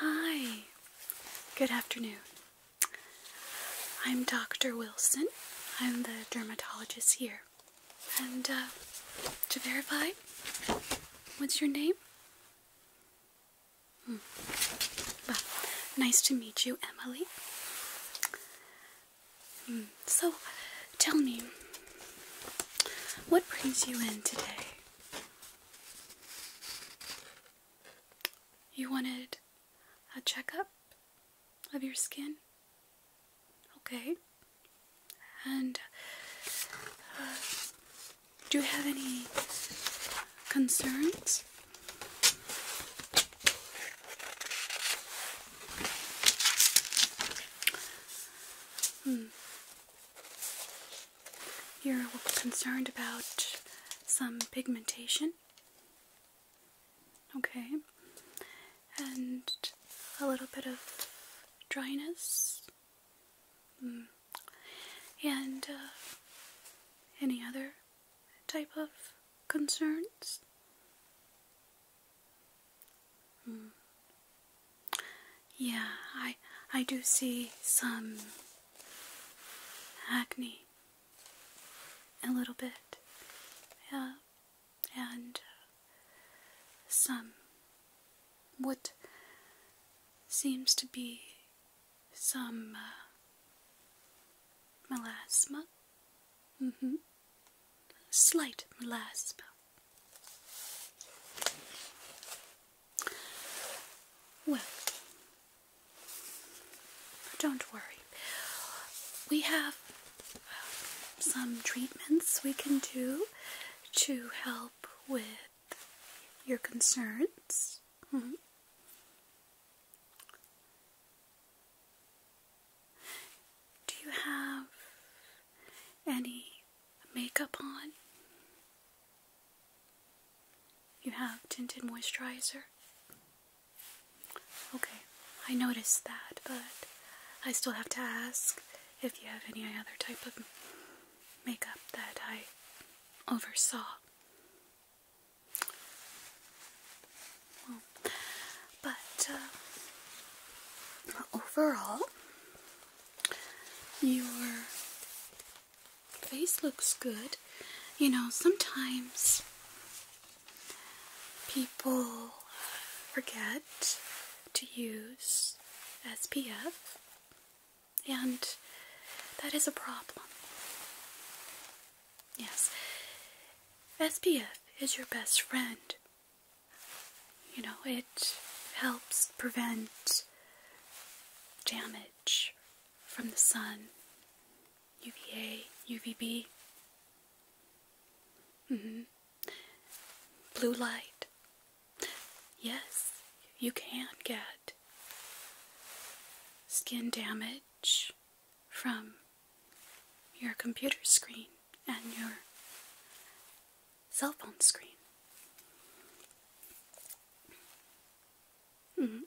Hi, good afternoon. I'm Dr. Wilson. I'm the dermatologist here. And uh, to verify, what's your name? Hmm. nice to meet you, Emily. Hmm. So, tell me, what brings you in today? You wanted a checkup of your skin? Okay. And uh, do you have any concerns? Hmm. You're concerned about some pigmentation? Okay. And a little bit of dryness? Hmm. And uh, any other type of concerns? Hmm. Yeah, I I do see some acne a little bit. Yeah. And uh, some what seems to be some uh, melasma. Mm-hmm slight molasses Well, don't worry. We have uh, some treatments we can do to help with your concerns. Mm-hmm. Do you have any makeup on? You have tinted moisturizer? Okay, I noticed that, but I still have to ask if you have any other type of makeup that I oversaw. But uh, overall, your face looks good. You know, sometimes people forget to use SPF, and that is a problem. Yes, SPF is your best friend you know, it helps prevent damage from the sun, UVA, UVB. Mm -hmm. Blue light. Yes, you can get skin damage from your computer screen and your cell phone screen. Mm-hmm.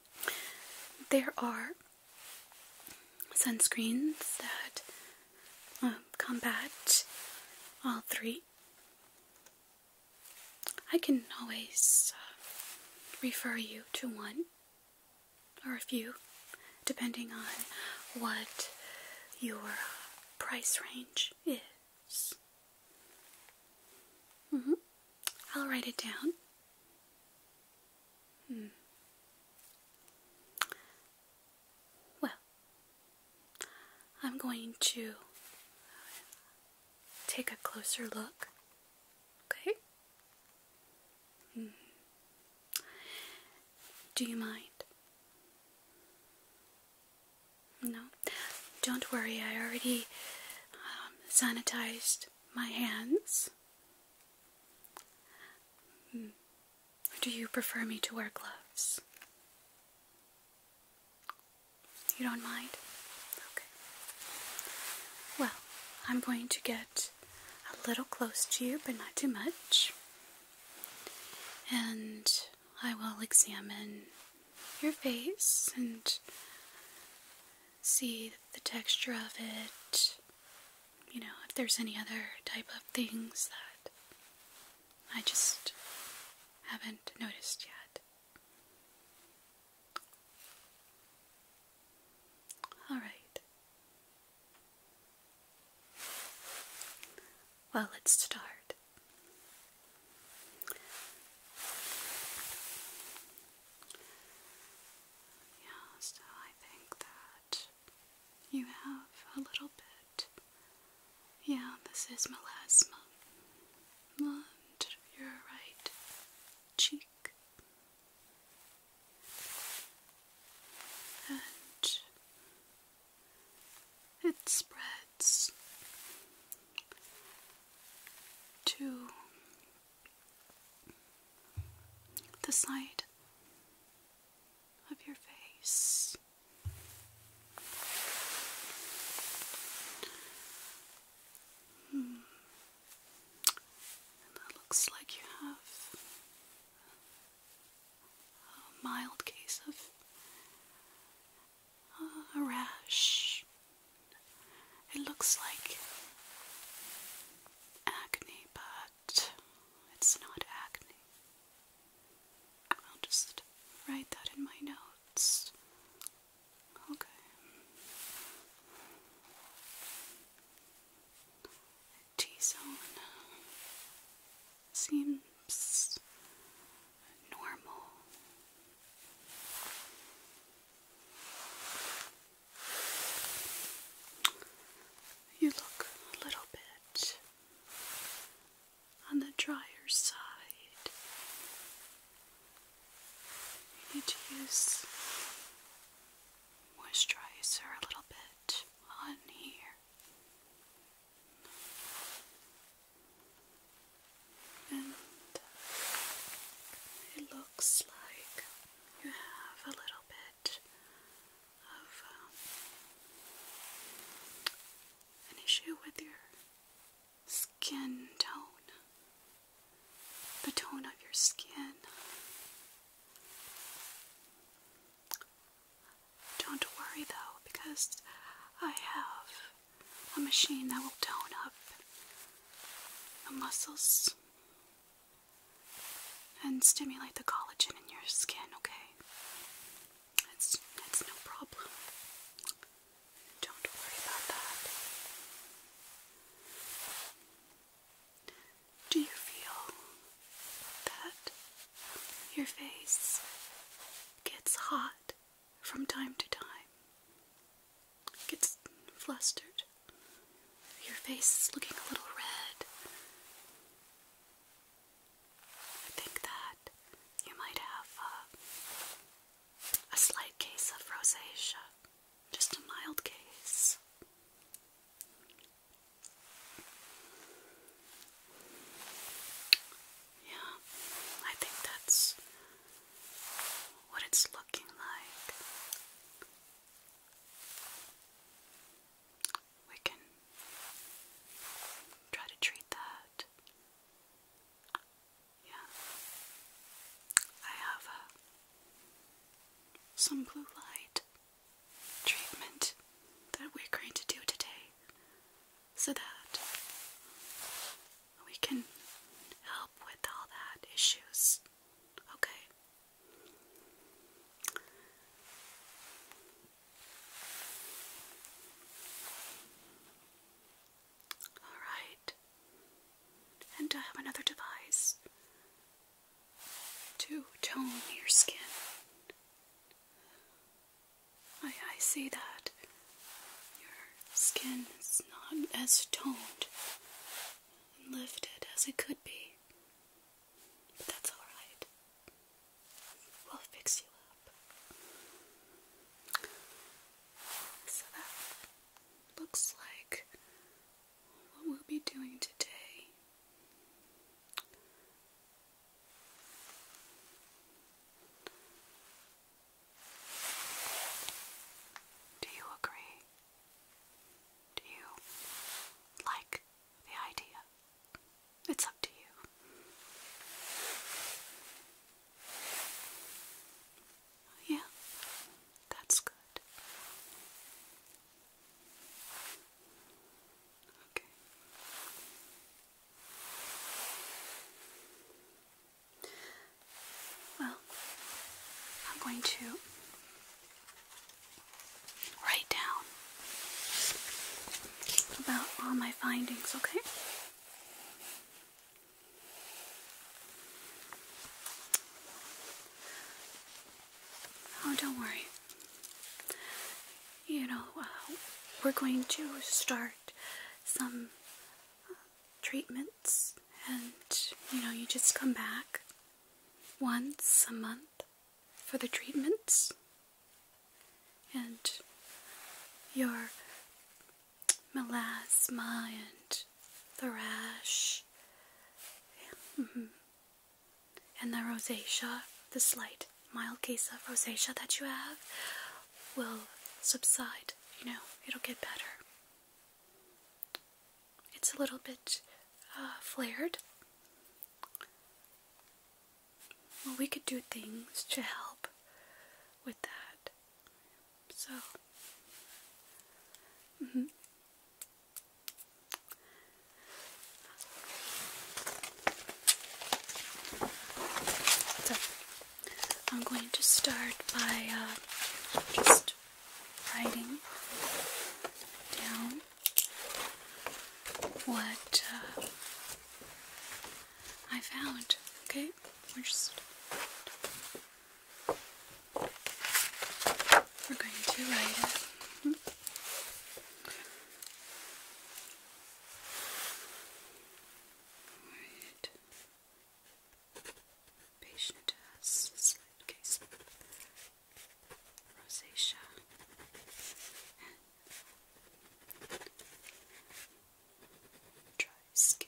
There are sunscreens that um, combat all three. I can always uh, refer you to one or a few depending on what your uh, price range is. Mm-hmm. I'll write it down. Hmm. Well, I'm going to take a closer look. Okay? Hmm. Do you mind? No? Don't worry, I already um, sanitized my hands. Hmm. do you prefer me to wear gloves? You don't mind? Okay. Well, I'm going to get a little close to you, but not too much and I will examine your face and see the texture of it. You know, if there's any other type of things that I just haven't noticed yet. All right. Well, let's start. Yeah, so I think that you have a little bit. Yeah, this is melasma. And your right cheek. And it spreads to the side of your face. Hmm. looks like you have a mild case of uh, a rash. It looks like acne, but it's not acne. I'll just write that in my notes. Okay. T-zone seems normal. You look a little bit on the drier side. You need to use moisturizer a little bit on here it looks like you have a little bit of um, an issue with your skin tone, the tone of your skin. Don't worry though, because I have a machine that will tone up the muscles and stimulate the collagen in your skin, okay? That's, that's no problem. Don't worry about that. Do you feel that your face gets hot from time to time? Gets flustered. Your face is looking a little red. I think that you might have a, uh, a slight case of rosacea, just a mild case. Yeah, I think that's what it's looking like. We can try to treat that. Yeah. I have uh, some blue light treatment that we're going to do today so that we can help with all that issues. Okay. All right. And I have another device to tone your skin. I, I see that your skin is not as toned and lifted as it could be, but that's alright. We'll fix you up. So that looks like what we'll be doing today do you agree? Do you like the idea? It's up to you. Yeah, that's good. Okay. Well, I'm going to write down about all my findings, okay? Oh, don't worry. You know, uh, we're going to start some uh, treatments, and you know, you just come back once a month for the treatments, and your melasma and the rash. Mm-hmm. And the rosacea, the slight mild case of rosacea that you have, will subside. You know, it'll get better. It's a little bit uh, flared. Well, we could do things to help with that. So, mm-hmm. I'm going to start by uh, just writing down what uh, I found. Okay, we're just we're going to write Patient has slight case rosacea. And dry skin.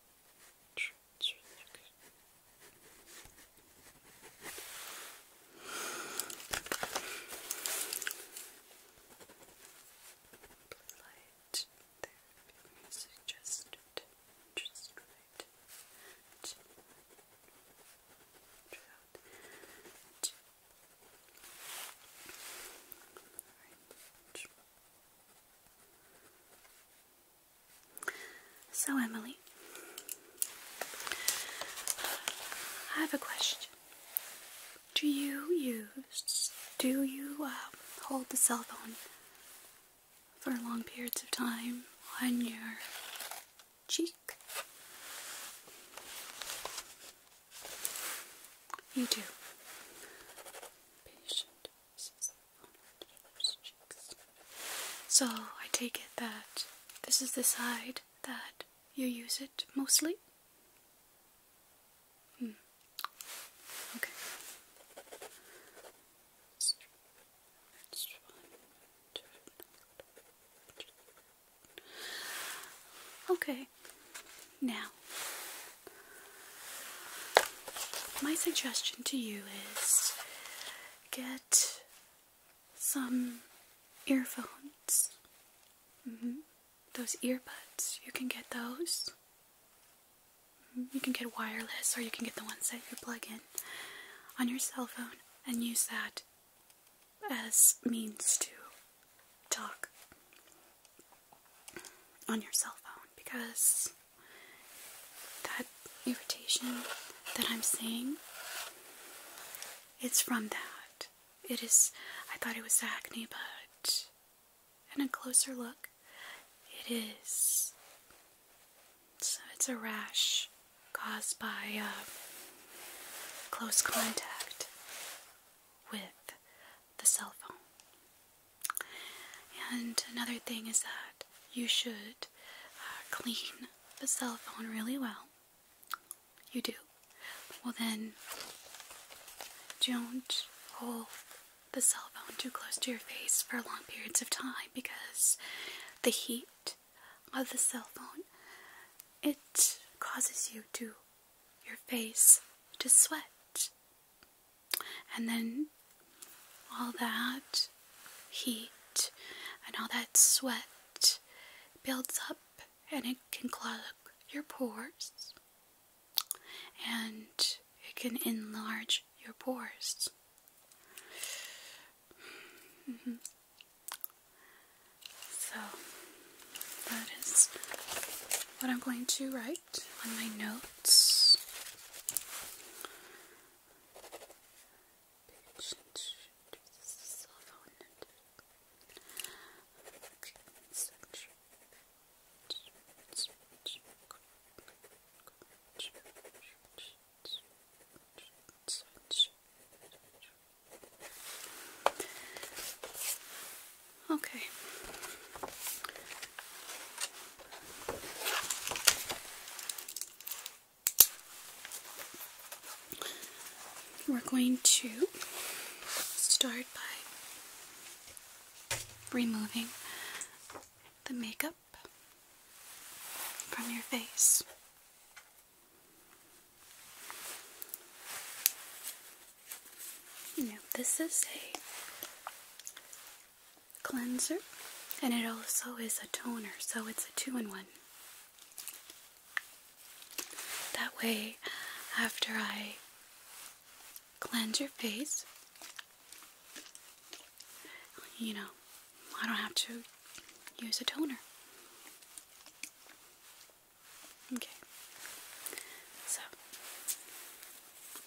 Blue light therapy suggested. Just right. Just Orange. So, Emily, I have a question. Do you use, do you um, hold the cell phone for long periods of time on your cheek? You do. So I take it that this is the side that you use it mostly? Hmm. Okay. Okay. Now, my suggestion to you is get some earphones. Mm-hmm. Those earbuds, you can get those. Mm-hmm. You can get wireless, or you can get the ones that you plug in on your cell phone and use that as means to talk on your cell phone because that irritation that I'm seeing it's from that. It is I thought it was acne but in a closer look it is so it's a rash caused by um, close contact with the cell phone. And another thing is that you should uh, clean the cell phone really well. You do. Well, then, don't hold the cell phone too close to your face for long periods of time because the heat of the cell phone it causes you to your face to sweat and then all that heat and all that sweat builds up and it can clog your pores and it can enlarge your pores. Mm-hmm. So that is what I'm going to write on my notes. Okay. We're going to start by removing the makeup from your face. Now, this is a cleanser and it also is a toner, so it's a two in one. That way, after I cleanse your face, you know, I don't have to use a toner. Okay, so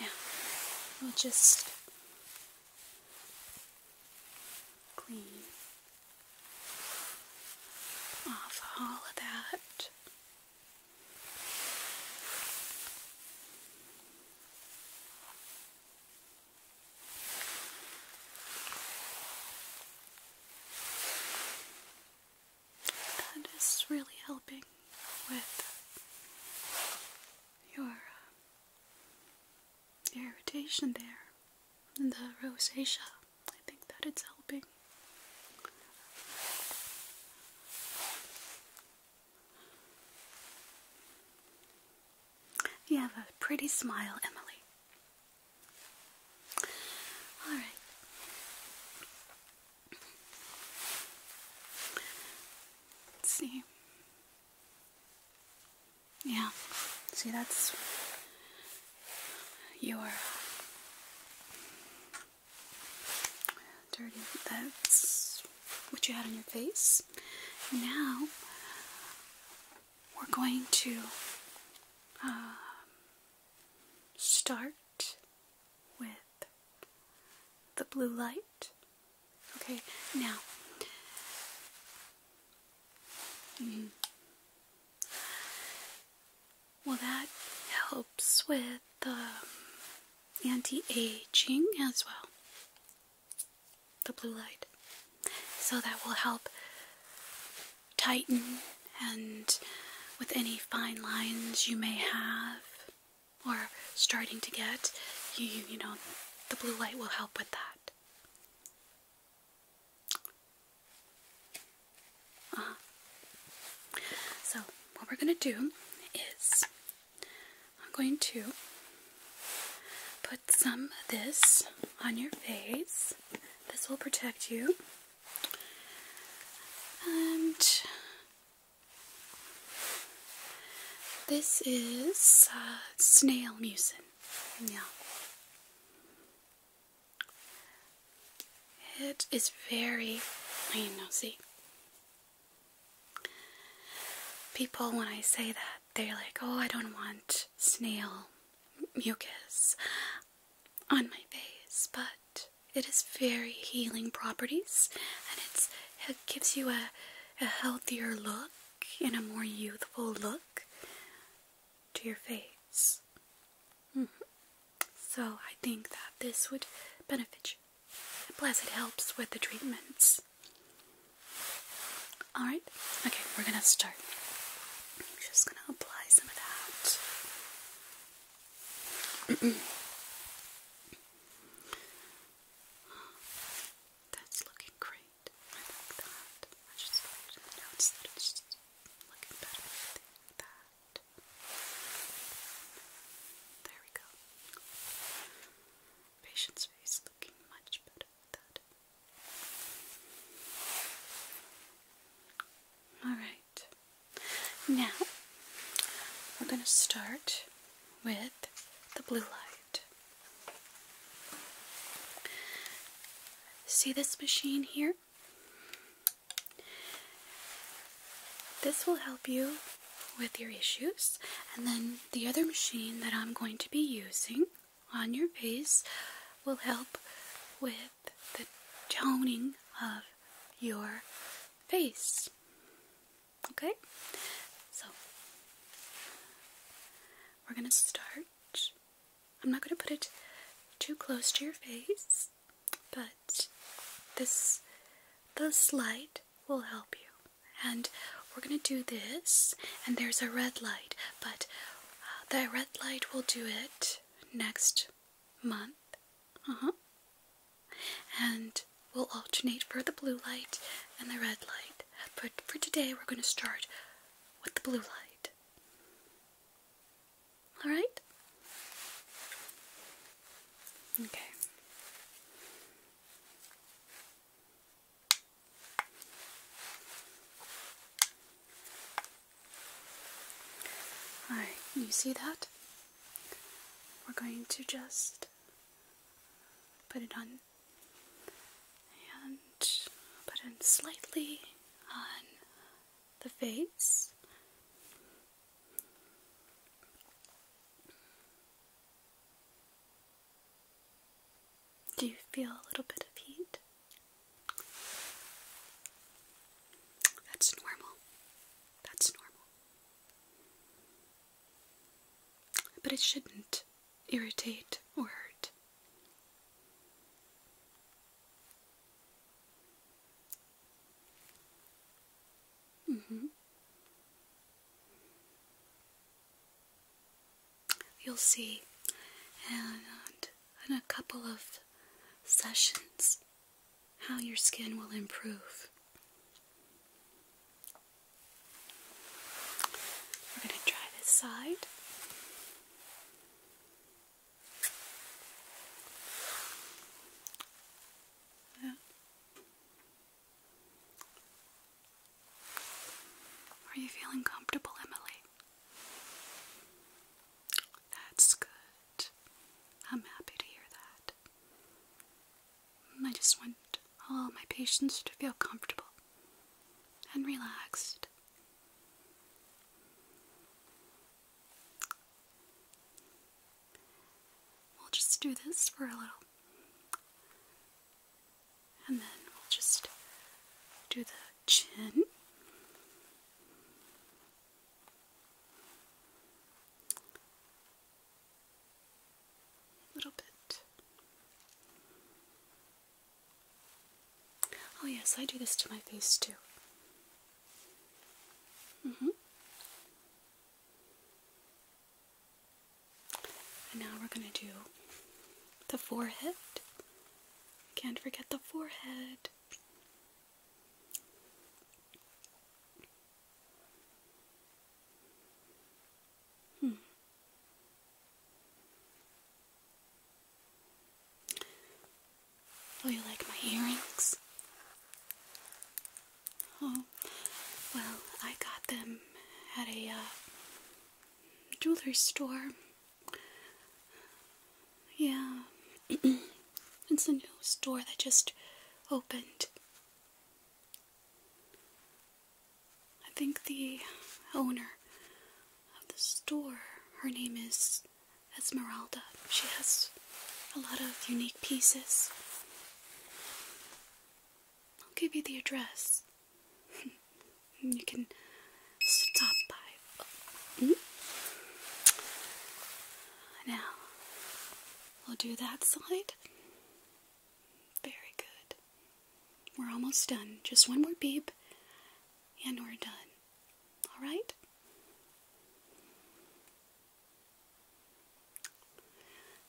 Now, we'll just clean off all of that. That is really helping with your uh, irritation there, and the rosacea. I think that it's helping. You have a pretty smile, Emily. All see. Yeah. See, that's your uh, dirty. That's what you had on your face. Now, we're going to um, start with the blue light. Okay, now. Mm-hmm. Well, that helps with um, anti aging as well. The blue light. So that will help tighten and with any fine lines you may have or starting to get, you, you know, the blue light will help with that. Uh-huh. So, what we're going to do is I'm going to put some of this on your face. This will protect you. And this is uh, snail mucin. Yeah. It is very, I know, see. People, when I say that, they're like, oh, I don't want snail mucus on my face, but it has very healing properties and it gives you a, healthier look and a more youthful look to your face. Mm-hmm. So I think that this would benefit you. Plus, it helps with the treatments. Alright, okay, we're gonna start. just gonna apply some of that. That's looking great. I like that. I better There we go. Patient's face looking much better. Alright. Now, we're going to start with the blue light. See this machine here? This will help you with your issues, and then the other machine that I'm going to be using on your face will help with the toning of your face. Okay? So, we're going to start. I'm not going to put it too close to your face, but this, this light will help you. And we're going to do this, and there's a red light, but uh, the red light will do it next month. Uh-huh. And we'll alternate for the blue light and the red light. But for today, we're going to start with the blue light. Alright? Okay. Alright, you see that? We're going to just put it on and put it slightly on the face. Do you feel a little bit of heat? That's normal. That's normal. But it shouldn't irritate or hurt. Mm-hmm you'll see, and uh, in a couple of sessions, how your skin will improve. We're going to try this side. Yeah. Are you feeling comfortable, Emily? That's good. I'm happy to hear that. I just want all my patients to feel comfortable and relaxed. We'll just do this for a little and then we'll just do the chin. A little bit. Oh, yes, I do this to my face too. Mm-hmm. And now we're going to do the forehead can't forget the forehead. Hmm. Oh, you like my earrings? Oh, well, I got them at a uh, jewelry store yeah, it's a new store that just opened. I think the owner of the store, her name is Esmeralda. She has a lot of unique pieces. I'll give you the address. you can stop by. Mm. Now, we'll do that side. Very good. We're almost done. Just one more beep, and we're done. All right?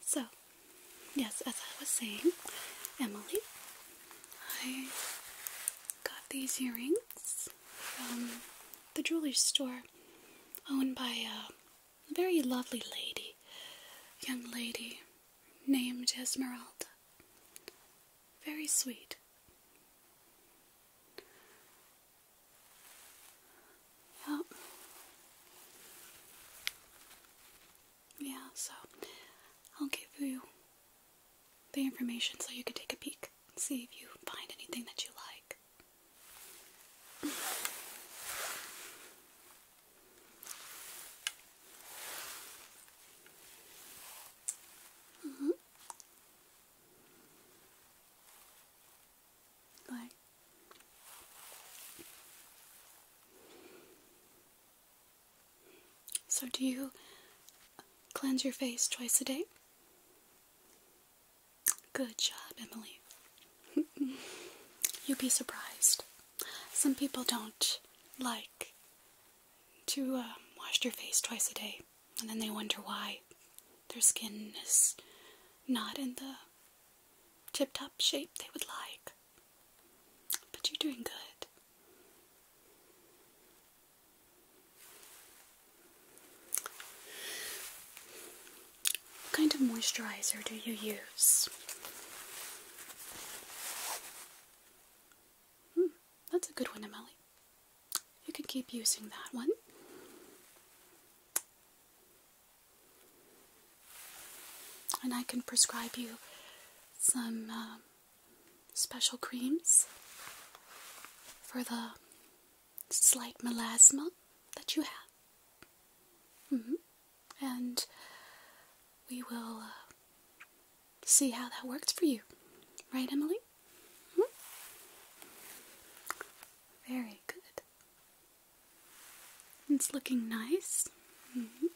So, yes, as I was saying, Emily I got these earrings from the jewelry store owned by a very lovely lady, young lady named Esmeralda. Very sweet. Yeah, so I'll give you the information so you can take a peek and see if you find anything that you like. Mm -hmm. So, do you cleanse your face twice a day? Good job, Emily. You'd be surprised. Some people don't like to um, wash their face twice a day, and then they wonder why their skin is not in the tip top shape they would like. But you're doing good. What kind of moisturizer do you use? Hmm, that's a good one, Emily. You can keep using that one. And I can prescribe you some um, special creams for the slight melasma that you have. Mm-hmm. And we will uh, see how that works for you. Right, Emily? Mm-hmm. Very good. It's looking nice. Mm-hmm.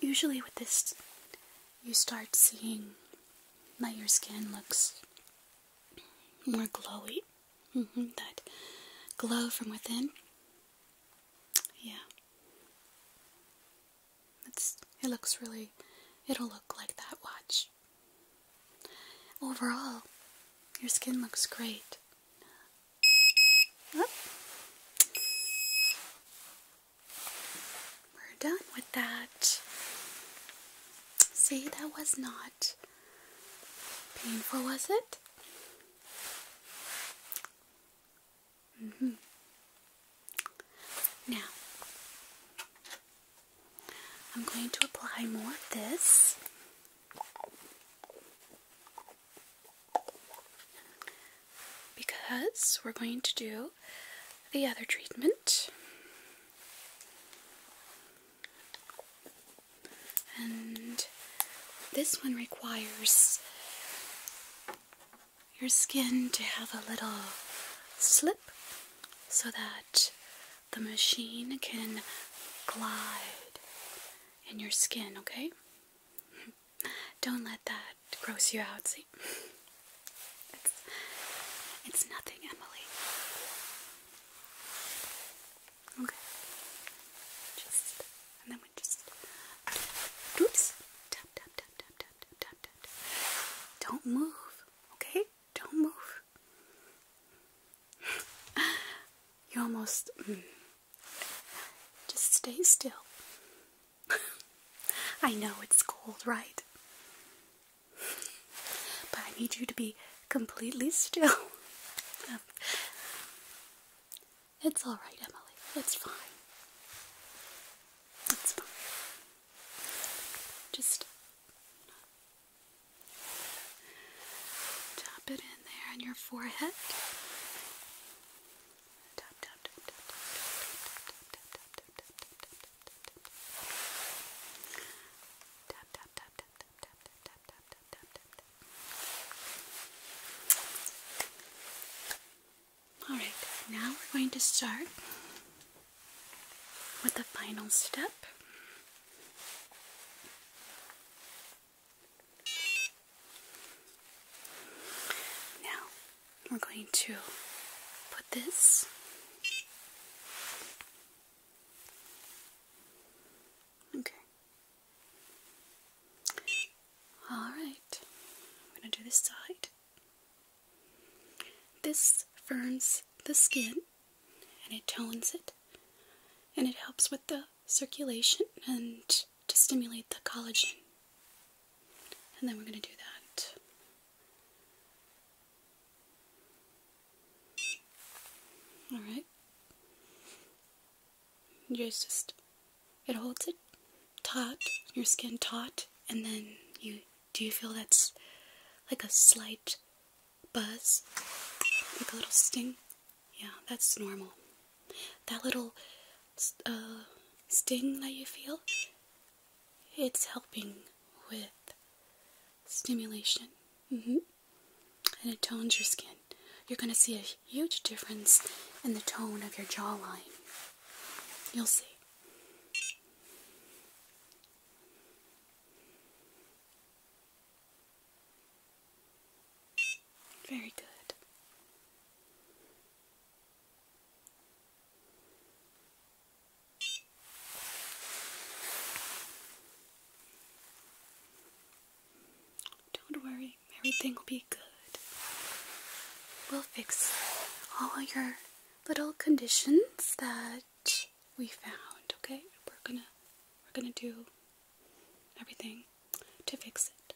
Usually, with this, you start seeing that your skin looks more glowy. Mm-hmm, that glow from within. Yeah. it looks really, it'll look like that watch. Overall, your skin looks great. We're done with that. See, that was not painful, was it? Mm-hmm. Now, I'm going to apply more of this because we're going to do the other treatment. And this one requires your skin to have a little slip so that the machine can glide in your skin, okay? Don't let that gross you out. See, it's, it's nothing, Emily. Okay. and then we just. Oops. Tap tap tap tap tap tap tap tap. Don't move. Okay. Don't move. you almost. Mm, just stay still. I know it's cold, right? But I need you to be completely still. it's alright, Emily. It's fine. It's fine. Just tap it in there on your forehead. All right, now we're going to start with the final step. Now, we're going to put this okay. All right, I'm going to do this side. This firms the skin and it tones it and it helps with the circulation and to stimulate the collagen. And then we're going to do that. Alright. Just, just, it holds it taut, your skin taut, and then you, do you feel that's like a slight buzz? Like a little sting? Yeah, that's normal. That little uh, sting that you feel, it's helping with stimulation. Mm-hmm. And it tones your skin. You're going to see a huge difference in the tone of your jawline. You'll see. Very good. Don't worry, everything will be good. We'll fix all your little conditions that we found, okay? We're gonna we're gonna do everything to fix it,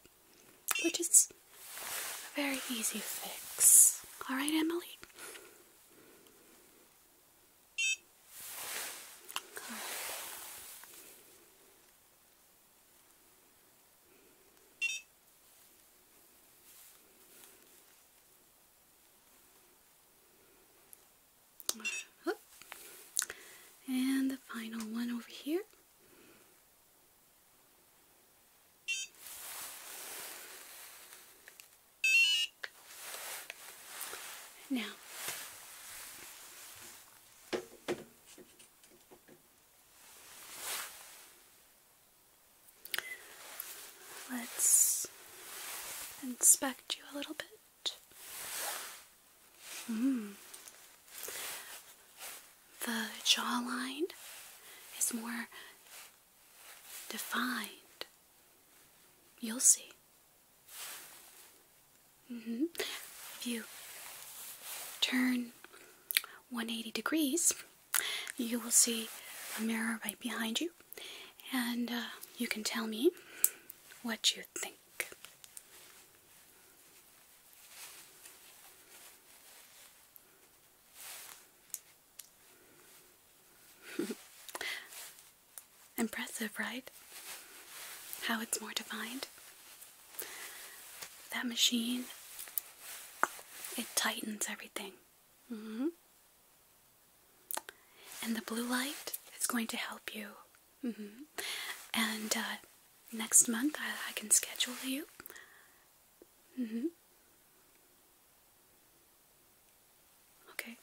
which is a very easy fix. All right, Emily. And the final one over here. Now, let's inspect you a little bit. Mm. The jawline is more defined. You'll see. Mm-hmm. If you turn 180 degrees, you will see a mirror right behind you, and uh, you can tell me what you think. Impressive, right? How it's more defined. That machine, it tightens everything. Mm-hmm. And the blue light is going to help you Mm -hmm. And uh, next month I, I can schedule you. Mm -hmm. Okay.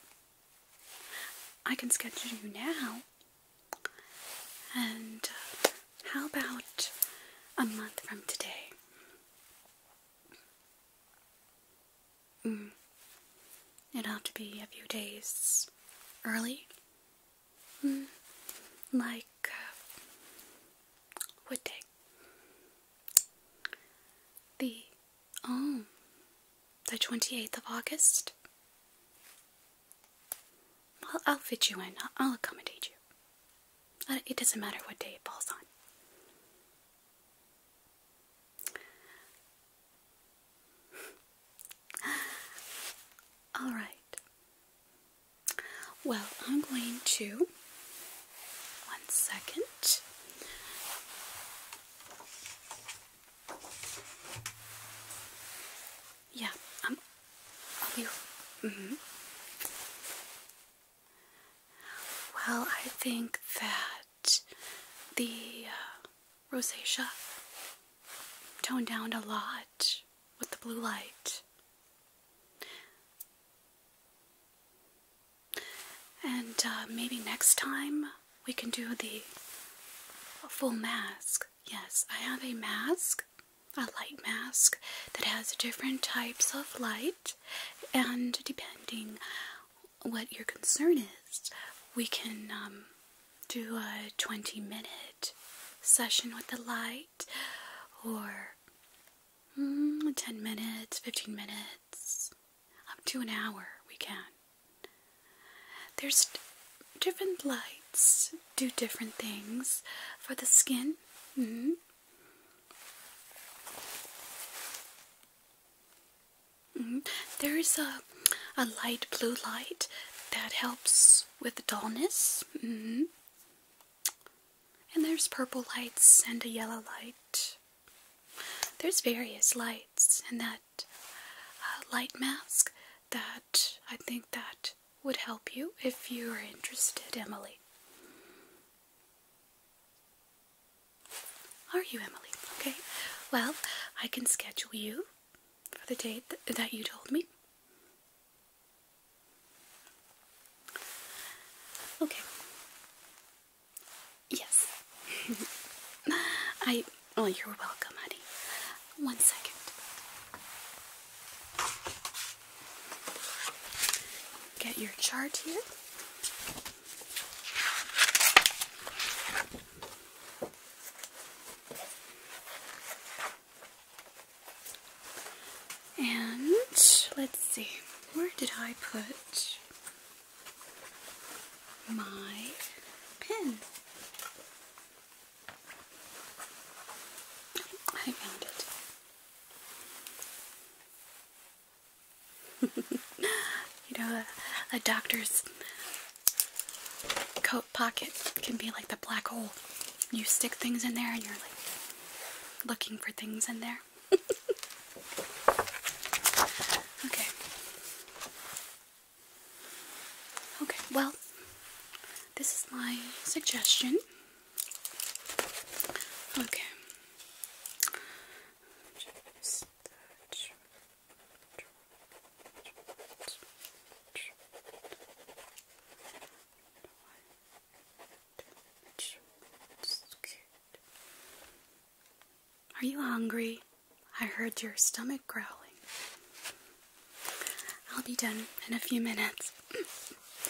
I can schedule you now. And uh, how about a month from today? Mm. It'll have to be a few days early. like uh, what day? The oh, the twenty eighth of August. Well, I'll fit you in. I'll, accommodate you. Uh, it doesn't matter what day it falls on. Alright. Well, I'm going to. One second. Yeah, I'm. Um, I'll be. Mm-hmm. Well, I think that the uh, rosacea. Toned down a lot with the blue light. And uh, maybe next time we can do the full mask. Yes, I have a mask, a light mask that has different types of light, and depending what your concern is, we can um, do a 20 minute session with the light or mm, 10 minutes, 15 minutes, up to an hour we can. There's different lights do different things for the skin. Mm-hmm. Mm-hmm. There is a, a light blue light that helps with dullness. Mm-hmm. And there's purple lights and a yellow light. There's various lights, and that uh, light mask that I think that would help you if you are interested, Emily. Are you Emily? Okay. Well, I can schedule you for the date that you told me. Okay. Yes. I. Oh, you're welcome, honey. One second. Get your chart here. And let's see, where did I put my pen? I found it. you know, a, a doctor's coat pocket can be like the black hole. You stick things in there and you're like looking for things in there. okay. Okay, well, this is my suggestion. Okay. Are you hungry? I heard your stomach growling. I'll be done in a few minutes.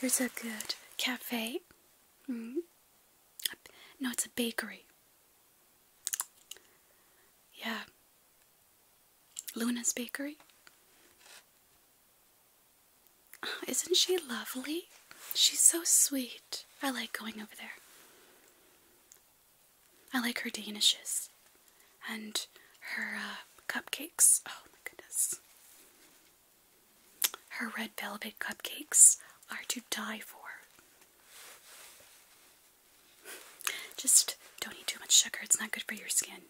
There's a good cafe. Mm. No, it's a bakery. Yeah. Luna's Bakery. isn't she lovely? She's so sweet. I like going over there. I like her danishes and her uh, cupcakes. Oh my goodness. Her red velvet cupcakes are to die for. Just don't eat too much sugar, it's not good for your skin.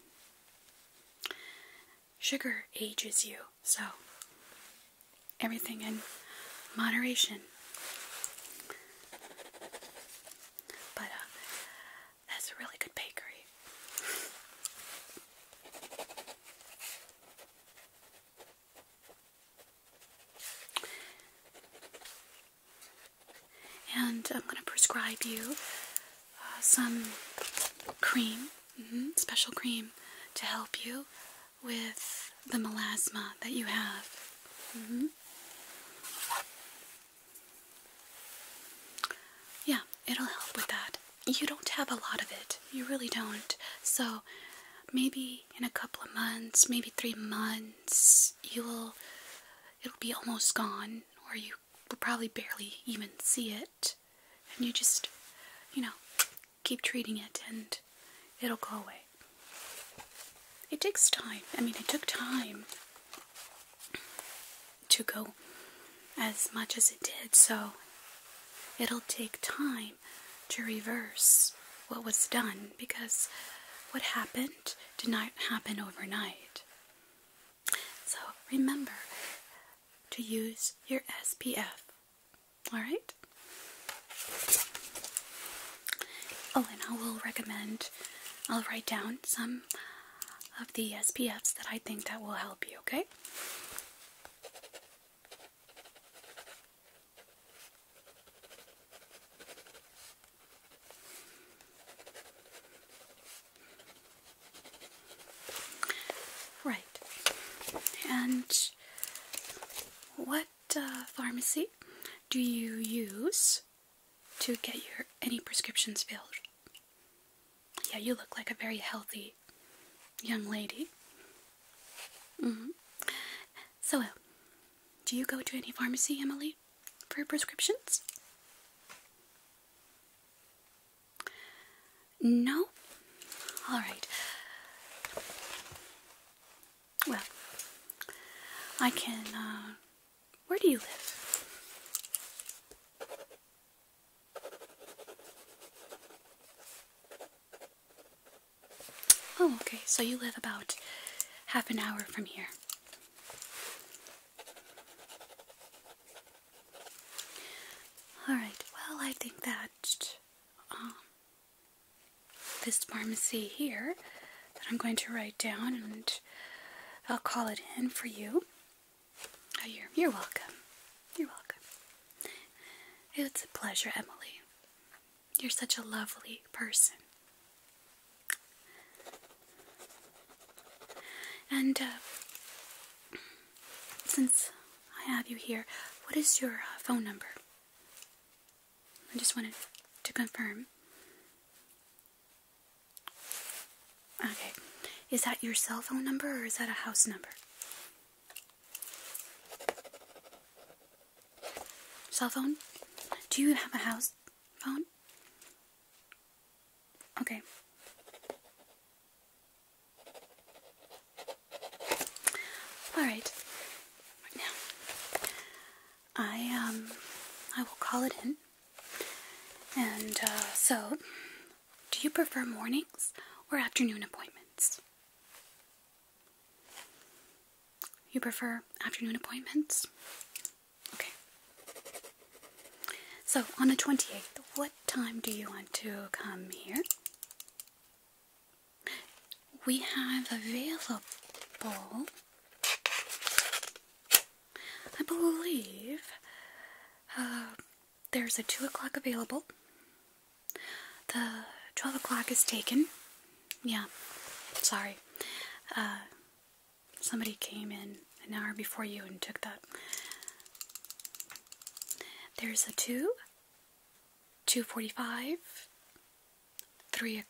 Sugar ages you, so everything in moderation. But uh, that's a really good bakery. And I'm going to prescribe you uh, some cream, mm-hmm, special cream, to help you with the melasma that you have. Mm-hmm. Yeah, it'll help with that. You don't have a lot of it. You really don't. So maybe in a couple of months, maybe three months, you will it'll be almost gone, or you will probably barely even see it. And you just, you know, keep treating it and it'll go away. It takes time. I mean, it took time to go as much as it did, so it'll take time to reverse what was done because what happened event did not happen overnight. So remember to use your SPF. Alright? Oh, and I will recommend, I'll write down some of the SPFs that I think that will help you, okay? Right. And what uh, pharmacy do you use to get your any prescriptions filled? Yeah, you look like a very healthy young lady. Mm-hmm. So, do you go to any pharmacy, Emily, for prescriptions? No? Alright. Well, I can, uh, where do you live? Oh, okay, so you live about half an hour from here. Alright, well, I think that um, this pharmacy here that I'm going to write down and I'll call it in for you. Oh, you're, you're welcome. You're welcome. It's a pleasure, Emily. You're such a lovely person. And uh, since I have you here, what is your uh, phone number? I just wanted to confirm. Okay. Is that your cell phone number or is that a house number? Cell phone? Do you have a house phone? Okay. Alright. now. I um I will call it in. And uh, so do you prefer mornings or afternoon appointments? You prefer afternoon appointments? Okay. So, on the 28th, what time do you want to come here? We have available, I believe, uh, there's a 2 o'clock available. The 12 o'clock is taken, yeah, sorry. Uh, somebody came in an hour before you and took that. There's a 2, 245, 3,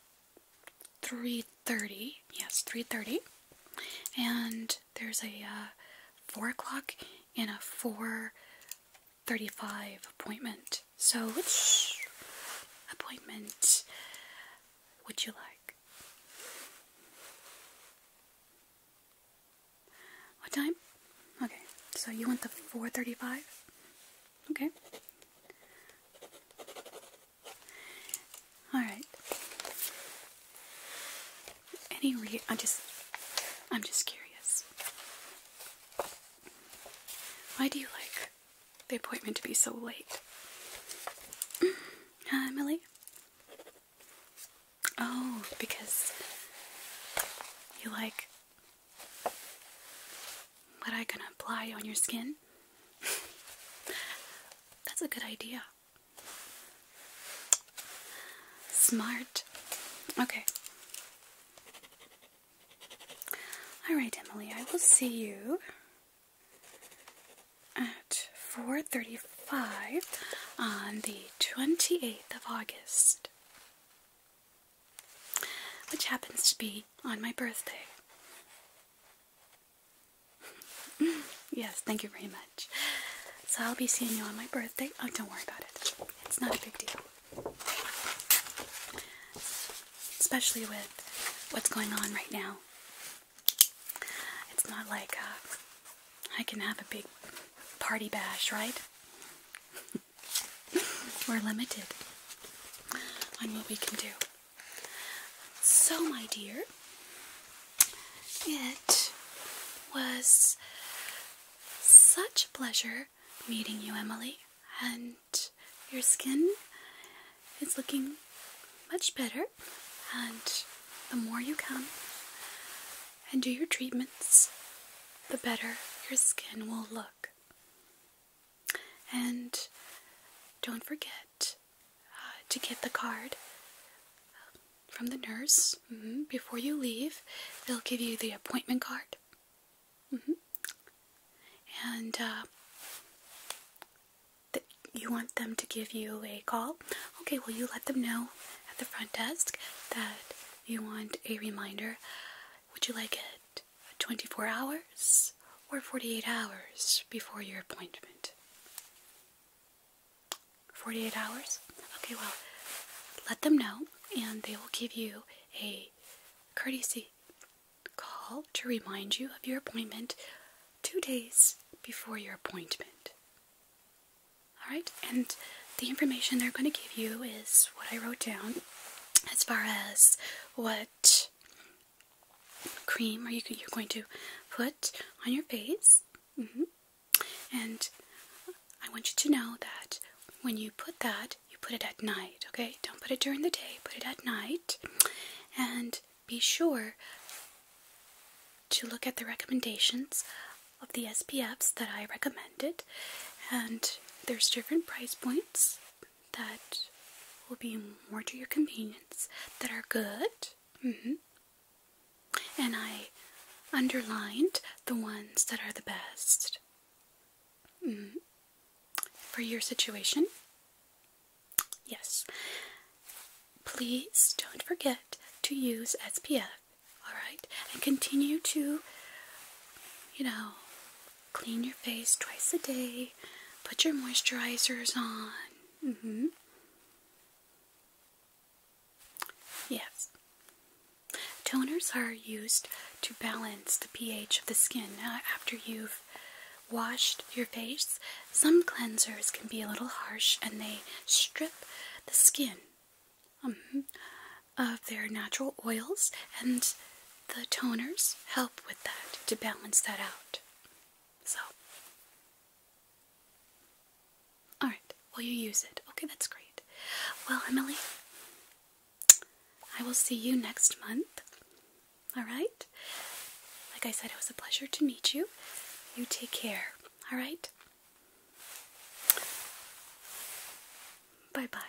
330, yes, 330. And there's a uh, 4 o'clock and a 435 appointment. So, which appointment would you like? What time? Okay, so you want the 4:35? Okay. All right. Any re I am just I'm just curious. Why do you like the appointment to be so late. Hi, uh, Millie. Oh, because you like what I can apply on your skin? That's a good idea. Smart. Okay. Alright, Emily, I will see you at 4.35 on the 28th of August, which happens to be on my birthday. yes, thank you very much. So I'll be seeing you on my birthday. Oh, don't worry about it. It's not a big deal especially with what's going on right now. It's not like uh, I can have a big party bash, right? We're limited on what we can do. So, my dear, it was such a pleasure meeting you, Emily, and your skin is looking much better. And the more you come and do your treatments, the better your skin will look. And don't forget uh, to get the card from the nurse mm-hmm. before you leave. They'll give you the appointment card. Mm-hmm. And uh, you want them to give you a call? Okay, well, you let them know at the front desk that you want a reminder. Would you like it 24 hours or 48 hours before your appointment? 48 hours? Okay, well, let them know and they will give you a courtesy call to remind you of your appointment two days before your appointment. Alright, and the information they're going to give you is what I wrote down as far as what cream or you, you're going to put on your face. Mm-hmm. And I want you to know that when you put that, you put it at night, okay? Don't put it during the day, put it at night. And be sure to look at the recommendations of the SPFs that I recommended. And there's different price points that will be more to your convenience that are good. Mm-hmm. And I underlined the ones that are the best. Mm-hmm for your situation. Yes. Please don't forget to use SPF, alright? And continue to, you know, clean your face twice a day, put your moisturizers on. Mm hmm. Yes. Toners are used to balance the pH of the skin uh, after you've washed your face, some cleansers can be a little harsh and they strip the skin um, of their natural oils, and the toners help with that to balance that out. So, alright, Will you use it. Okay, that's great. Well, Emily, I will see you next month. All right? Like I said, it was a pleasure to meet you. You take care. All right? Bye bye.